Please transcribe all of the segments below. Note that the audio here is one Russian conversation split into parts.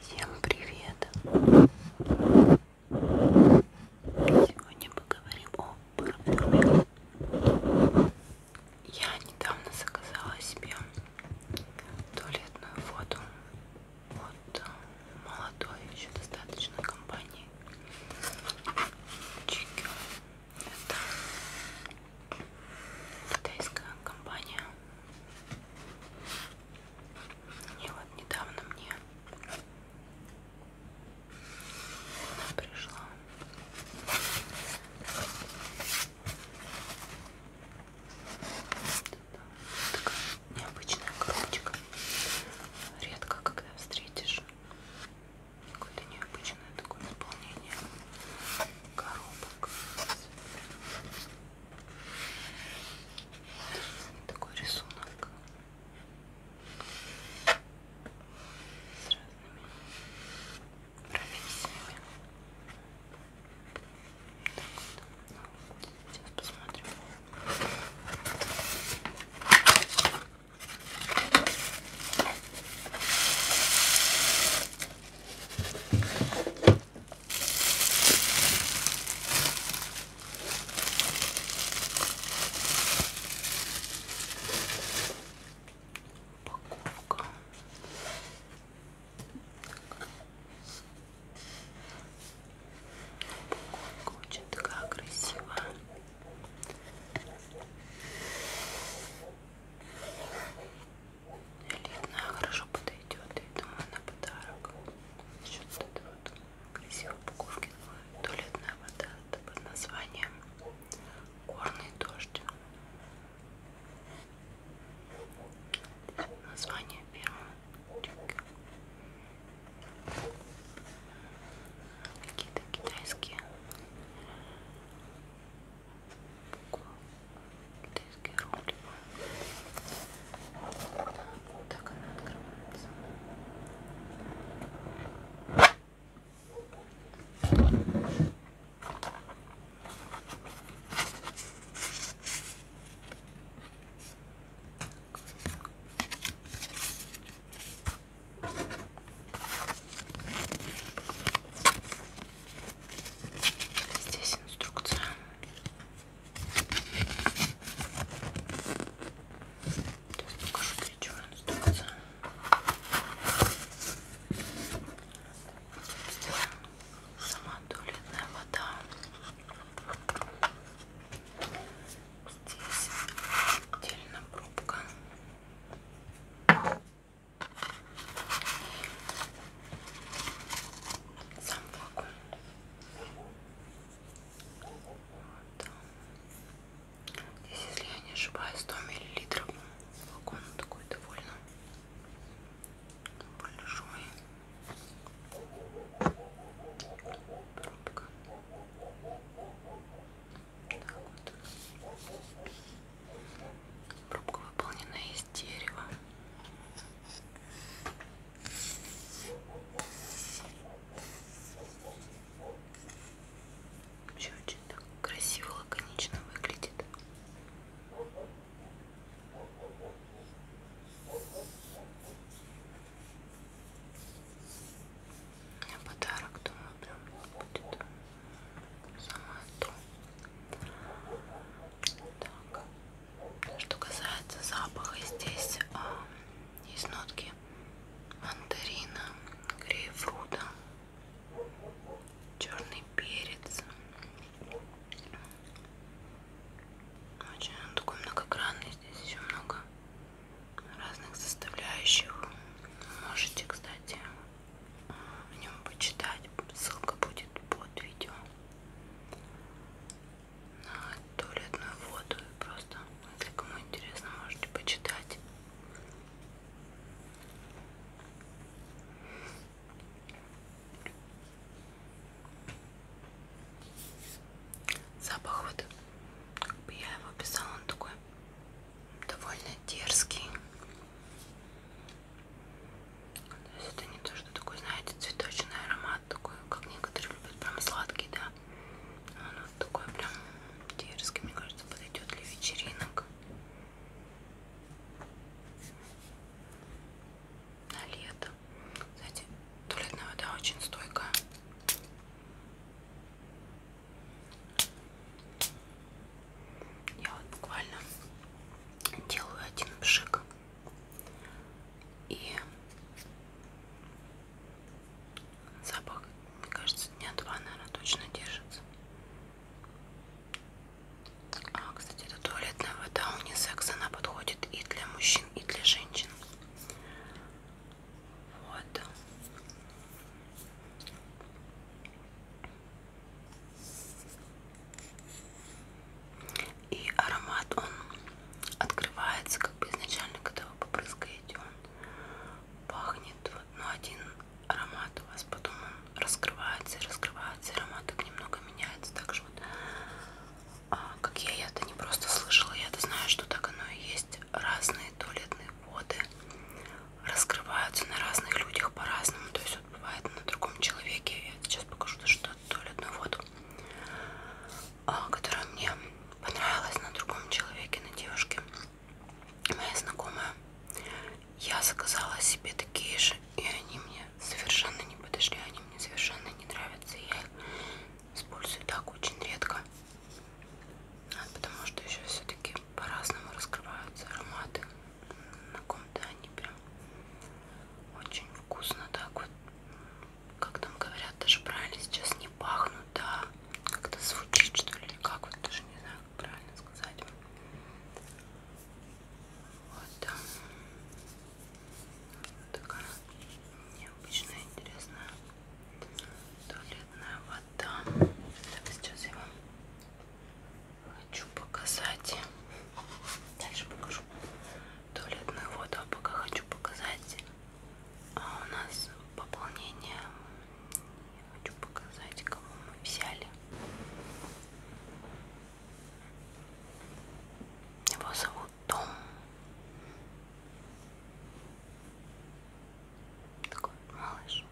Всем привет! Сегодня поговорим о парфюме. Я недавно заказала себе туалетную воду от э, молодой еще достаточно компании Чикю. Это китайская компания и вот недавно мне она пришла. Такая необычная коробочка. Редко когда встретишь какое-то необычное такое наполнение коробок. Такой рисунок с разными профессиями. Так вот. Ну, сейчас посмотрим. Упаковка. Упаковка очень такая красивая элитная, хорошо подойдет. И думаю, на подарок. Еще вот эта вот красивая упаковки. Ну, Туалетная вода это под названием Горный дождь. Название первого. Какие-то китайские китайские рубли. Вот так она открывается. Здесь инструкция. Сейчас покажу, для чего инструкция. Сама туалетная вода. Здесь отдельно пробка. Сам вакуум. Вот. Здесь, если я не ошибаюсь, 100 миллилитров. Вакуум такой довольно большой. Пробка. Так вот. Пробка выполнена из дерева. Вообще очень так красиво, лаконично выглядит. У меня подарок, думаю, прям будет самоту. Так. Что касается запаха, здесь а, есть нотки мандарина, грейпфрута, черный перец. Очень он такой многогранный, здесь еще много разных составляющих. Можете, кстати, о нем почитать. Ссылка будет под видео. На туалетную воду. И просто, если кому интересно, можете почитать. Запах вот, как бы я его писала, он такой довольно дерзкий. То есть это не то, что такой, знаете, цветочный аромат, такой, как некоторые любят, прям сладкий, да. Он вот такой прям дерзкий, мне кажется, подойдет для вечеринок. На лето. Кстати, туалетная вода очень стойкая. Я вот буквально делаю один пшик и запах, мне кажется, дня два, наверное, точно держится. А, кстати, эта туалетная вода унисекс, она подходит и для мужчин, и для женщин. Вот. И аромат, он открывается, как бы изначально, когда вы попрыскаете, он пахнет. Вот, но ну, один аромат у вас, потом он раскрывается и раскрывается, и аромат так немного меняется. Так же вот, а, как я, я-то не просто слышала, я-то знаю, что так оно и есть. Разные туалетные воды раскрываются на разных людях по-разному. То есть, вот бывает на другом человеке. Я сейчас покажу даже туалетную воду, которая мне понравилась на другом человеке, на девушке. Моя знакомая. Я заказала себе такие же, и они мне совершенно не подошли. Они мне совершенно не нравятся. Я их использую так очень редко. А, потому что еще все-таки по-разному раскрываются ароматы каком-то они прям очень вкусно так вот как там говорят даже правильно сейчас не пахнут да как-то звучит что ли или как вот даже не знаю как правильно сказать вот да. такая необычная интересная туалетная вода так сейчас я вам хочу показать дальше покажу туалетную воду а пока хочу показать а у нас пополнение Я хочу показать кому мы взяли его зовут Том такой малыш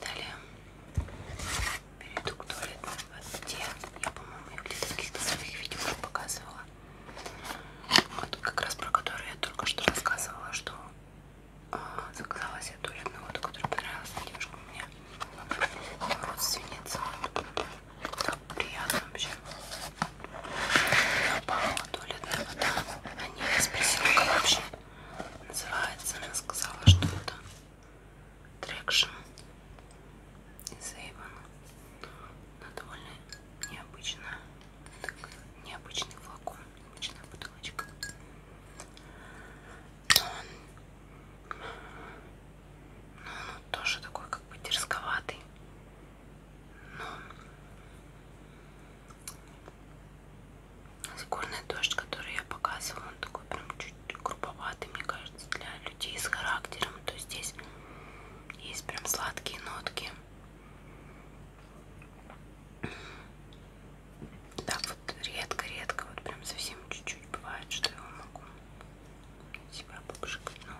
Далее перейду к туалетной воде. Я, по-моему, ее где-то в каких-то своих видео показывала. Вот как раз про которую я только что рассказывала, что а, заказала себе туалетную воду, которая понравилась девушка у меня родственница. Так приятно вообще. Напала туалетная вода. Они меня спросила, как вообще называется. Она сказала, что это трекшн из Avon. Она довольно необычная так, необычный флакон, необычная бутылочка. Но он, но он тоже такой как бы дерзковатый. Но Горный дождь, который я показывала, он такой прям чуть грубоватый, мне кажется, для людей с характером. То есть здесь есть прям сладкие нотки, да, вот редко-редко, вот прям совсем чуть-чуть бывает, что я могу себя попшикать, но... Ну.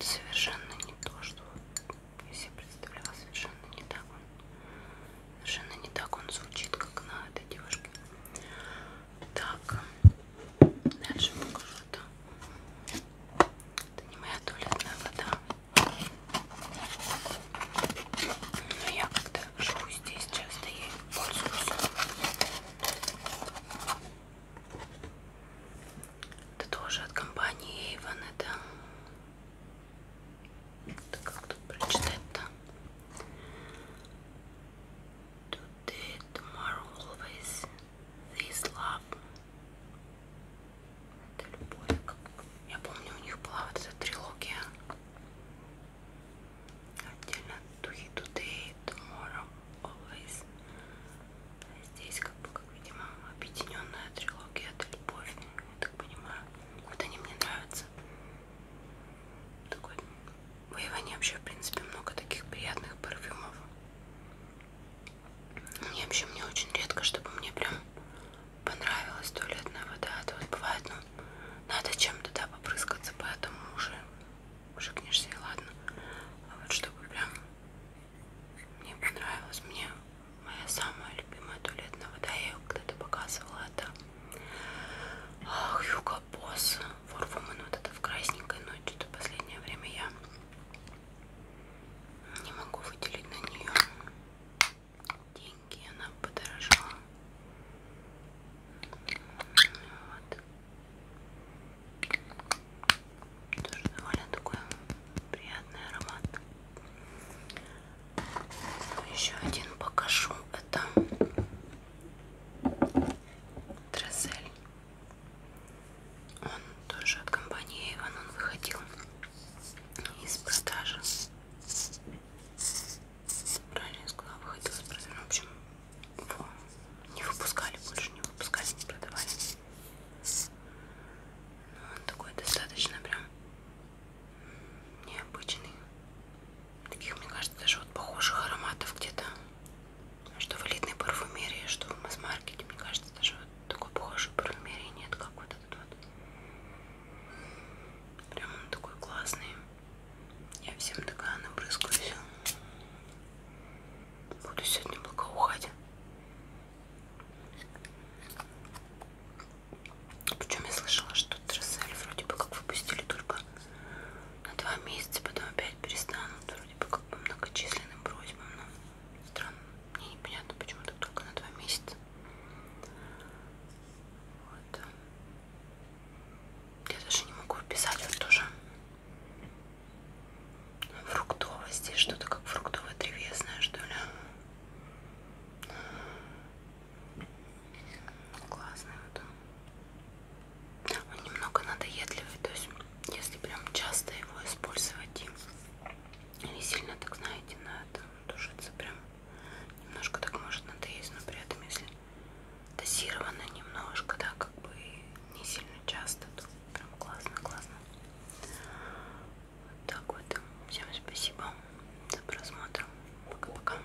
Совершенно не то, что я себе представляла, совершенно не так он, совершенно не так он звучит, как на этой девушке. Так, Дальше покажу это. Это не моя туалетная вода. Но я когда живу здесь, часто ей пользуюсь. Это тоже от компании Avon. Это, это как тут прочитать-то? Тут the tomorrow always this love. Это любовь. Я помню, у них была вот эта трилогия. Отдельно Туи Today, Tomorrow, Always. Здесь, как бы, как видимо, объединенная трилогия это любовь, я так понимаю. Вот они мне нравятся. Такой в ну, Иване вообще, в принципе, много таких приятных парфюмов. Мне вообще, мне очень редко, чтобы мне прям понравилась туалетная вода. Это а вот бывает, ну, надо чем-то, да, попрыскаться, поэтому уже шикнешься и ладно. А вот чтобы прям мне понравилось, мне моя самая любимая туалетная вода, я ее когда-то показывала, это Хьюго босс for woman, вот это в красненькой, но что-то последнее время я не могу выделить на нее деньги, она подорожала. Вот. Тоже довольно такой приятный аромат. Еще один покажу. Это Дросель. Он тоже от компании Avon, он выходил из продажи. Правильно я сказала, выходил из продажи. Ну, в общем, его не выпускали больше, не выпускали, не продавали. Но ну, он такой достаточно прям необычный таких, мне кажется, даже вот похожих ароматов где-то, что в элитной парфюмерии, что в масс-маркете, мне кажется, даже вот такой похожей парфюмерии нет, как вот этот вот. Прям он такой классный. Я всем такая набрызгаюсь. Буду сегодня благоухать. Причем я слышала, что тут Рассель вроде бы как выпустили только на два месяца, потом опять перестанут, вроде бы как по многочисленным просьбам, но странно, мне непонятно, почему так только на два месяца. Вот. Я даже не могу описать, вот тоже фруктовое здесь, что-то как фруктовое древесное, что ли. Классная вода. Он немного надоедливый, то есть если прям часто его использовать и не сильно так, знаете, на это тушится прям немножко так может надоесть, но при этом если дозировано немножко, да, как бы не сильно часто, то прям классно, классно. Вот так вот. Всем спасибо за просмотр. Пока-пока.